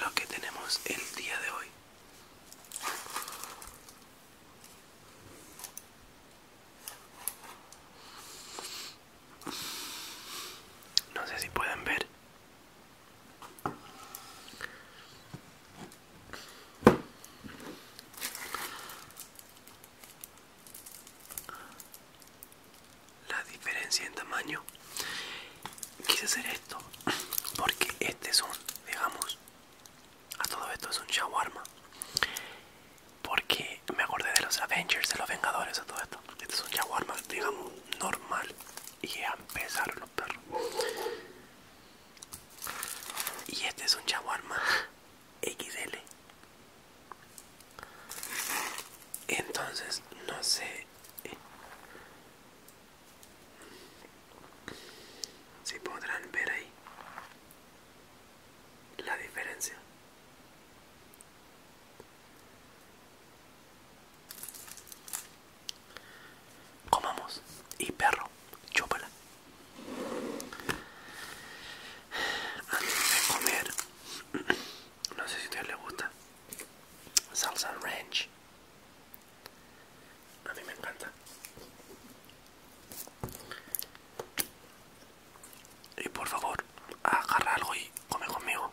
lo que tenemos el día de hoy. No sé si pueden ver la diferencia en tamaño quise hacer esto porque este es un digamos a todo esto es un shawarma porque me acordé de los Avengers de los Vengadores a todo esto este es un shawarma digamos normal y a empezar los perros y este es un shawarma XL entonces, no sé si podrán ver ahí la diferencia. Comamos y perro, chúpala. Antes de comer no sé si a ustedes les gusta. Salsa ranch. A mí me encanta. Y por favor, agarra algo y come conmigo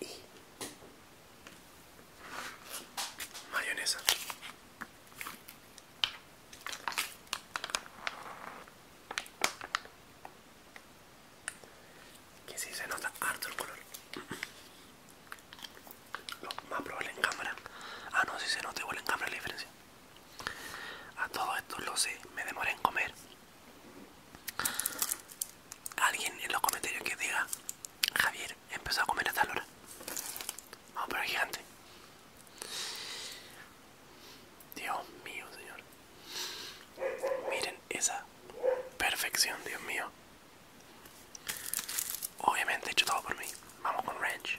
y mayonesa que si se nota harto el color lo más probable en cámara ah no si se nota igual en cámara la diferencia a todo esto lo sé, me demoré en comer. Alguien en los comentarios que diga, Javier, empezó a comer a tal hora. Vamos por el gigante. Dios mío, señor. Miren esa perfección, Dios mío. Obviamente he hecho todo por mí. Vamos con ranch.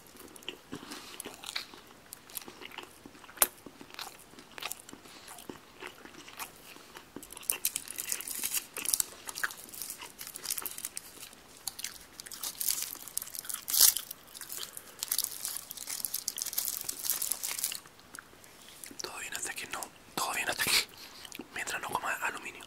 Todo bien hasta que no, todo bien hasta que mientras no coma aluminio.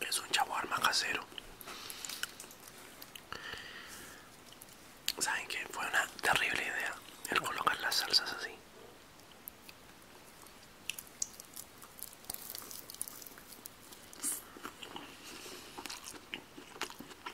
Es un shawarma casero. ¿Saben que Fue una terrible idea el colocar las salsas así.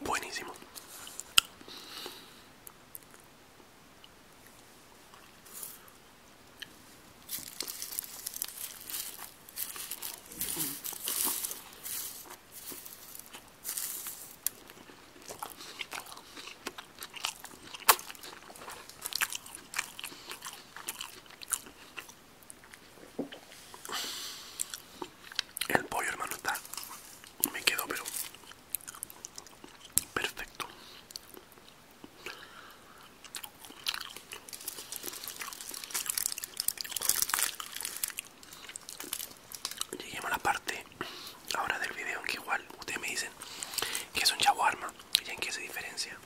Buenísimo. El pollo, hermano, está. Me quedó, pero. Perfecto. Lleguemos a la parte ahora del video en que igual ustedes me dicen que es un shawarma y en qué se diferencia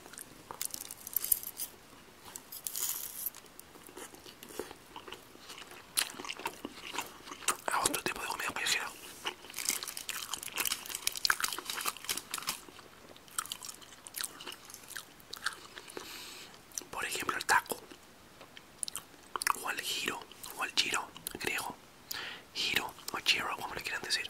a otro tipo de comida Por ejemplo, el taco, o el giro, o el giro griego, giro o giro, como le quieran decir.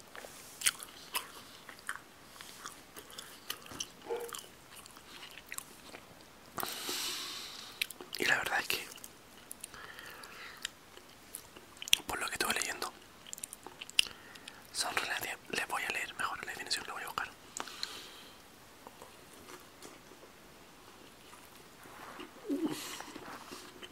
Y la verdad es que, por lo que estuve leyendo, son relaciones Les voy a leer mejor la definición, que voy a buscar.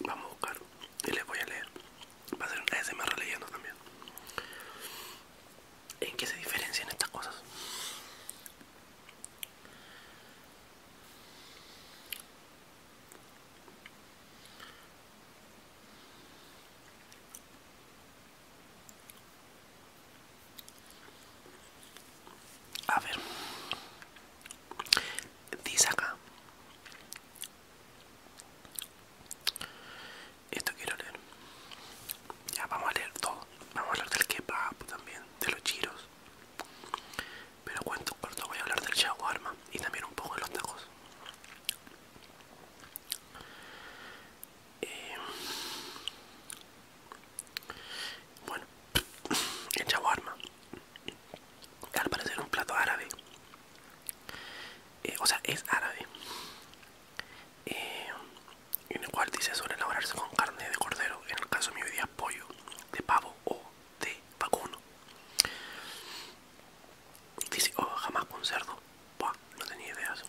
Vamos a buscar y les voy a leer. Va a ser un ASMR releyendo también. ¿En qué se diferencian estas cosas? A ver, Dice acá. Esto quiero leer. Ya vamos a leer todo. Vamos a hablar del kebab también, de los chiros. Pero cuento cuarto voy a hablar del Arma y también un poco de los tacos. Eh, bueno, el shawarma al parecer un plato árabe eh, o sea es árabe eh, en el cual dice suele elaborarse con carne de cordero en el caso de pollo de pavo o de vacuno dice o oh, jamás con cerdo no tenía idea eso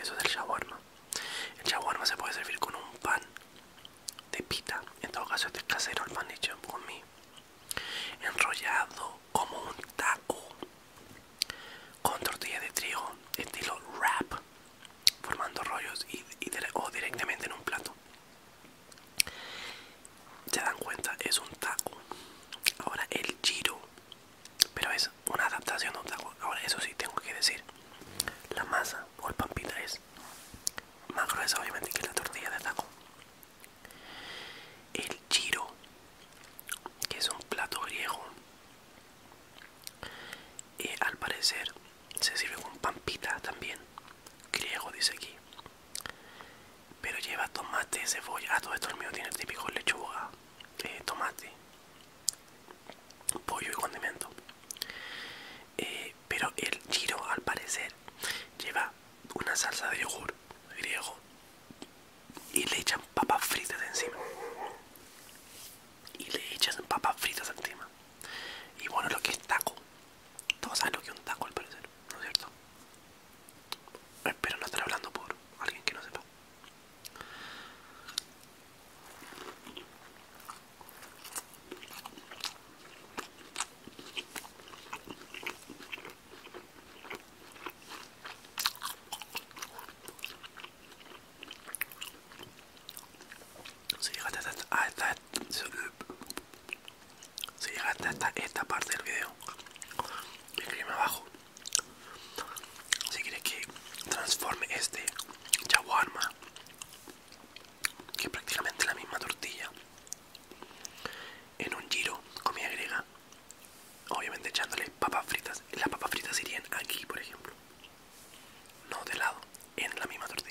eso es el shawarma el shawarma se puede servir con un pan de pita, en todo caso este casero, el pan mí, enrollado como un taco, con tortilla de trigo, estilo wrap, formando rollos o directamente en un plato. Se dan cuenta, es un taco. Ahora el giro, pero es una adaptación de un taco. Ahora eso sí tengo que decir, la masa o el pampita es más gruesa obviamente que la tortilla de taco. El giro, que es un plato griego, eh, al parecer se sirve con pampita también, griego dice aquí. Pero lleva tomate, cebolla, ah, todo esto el mío tiene el típico lechuga, eh, tomate, pollo y condimento. Eh, pero el giro al parecer lleva una salsa de yogur griego y le echan papas fritas encima y le echan papas fritas encima y bueno lo que es taco todos saben lo que es un taco al parecer no es cierto espero no estar hablando por alguien que no sepa Ah, si llegaste hasta, esta parte del video, escríbeme abajo si quieres que transforme este shawarma que es prácticamente la misma tortilla en un giro comida griega obviamente echándole papas fritas las papas fritas irían aquí por ejemplo no de lado en la misma tortilla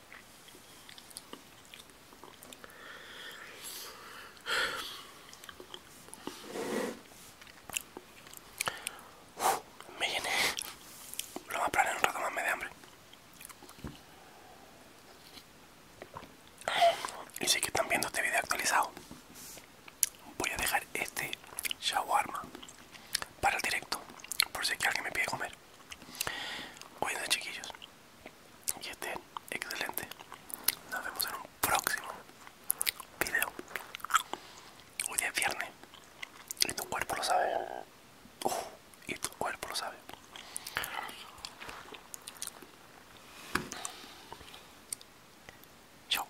me llené. Lo más probable en un rato más me de hambre. Y si es que están viendo este video actualizado, voy a dejar este shawarma para el directo, por si es que alguien me pide comer cuídense chiquillos, y este excelente. Nos vemos en un próximo video. Hoy es viernes y tu cuerpo lo sabe. y tu cuerpo lo sabe. Chao.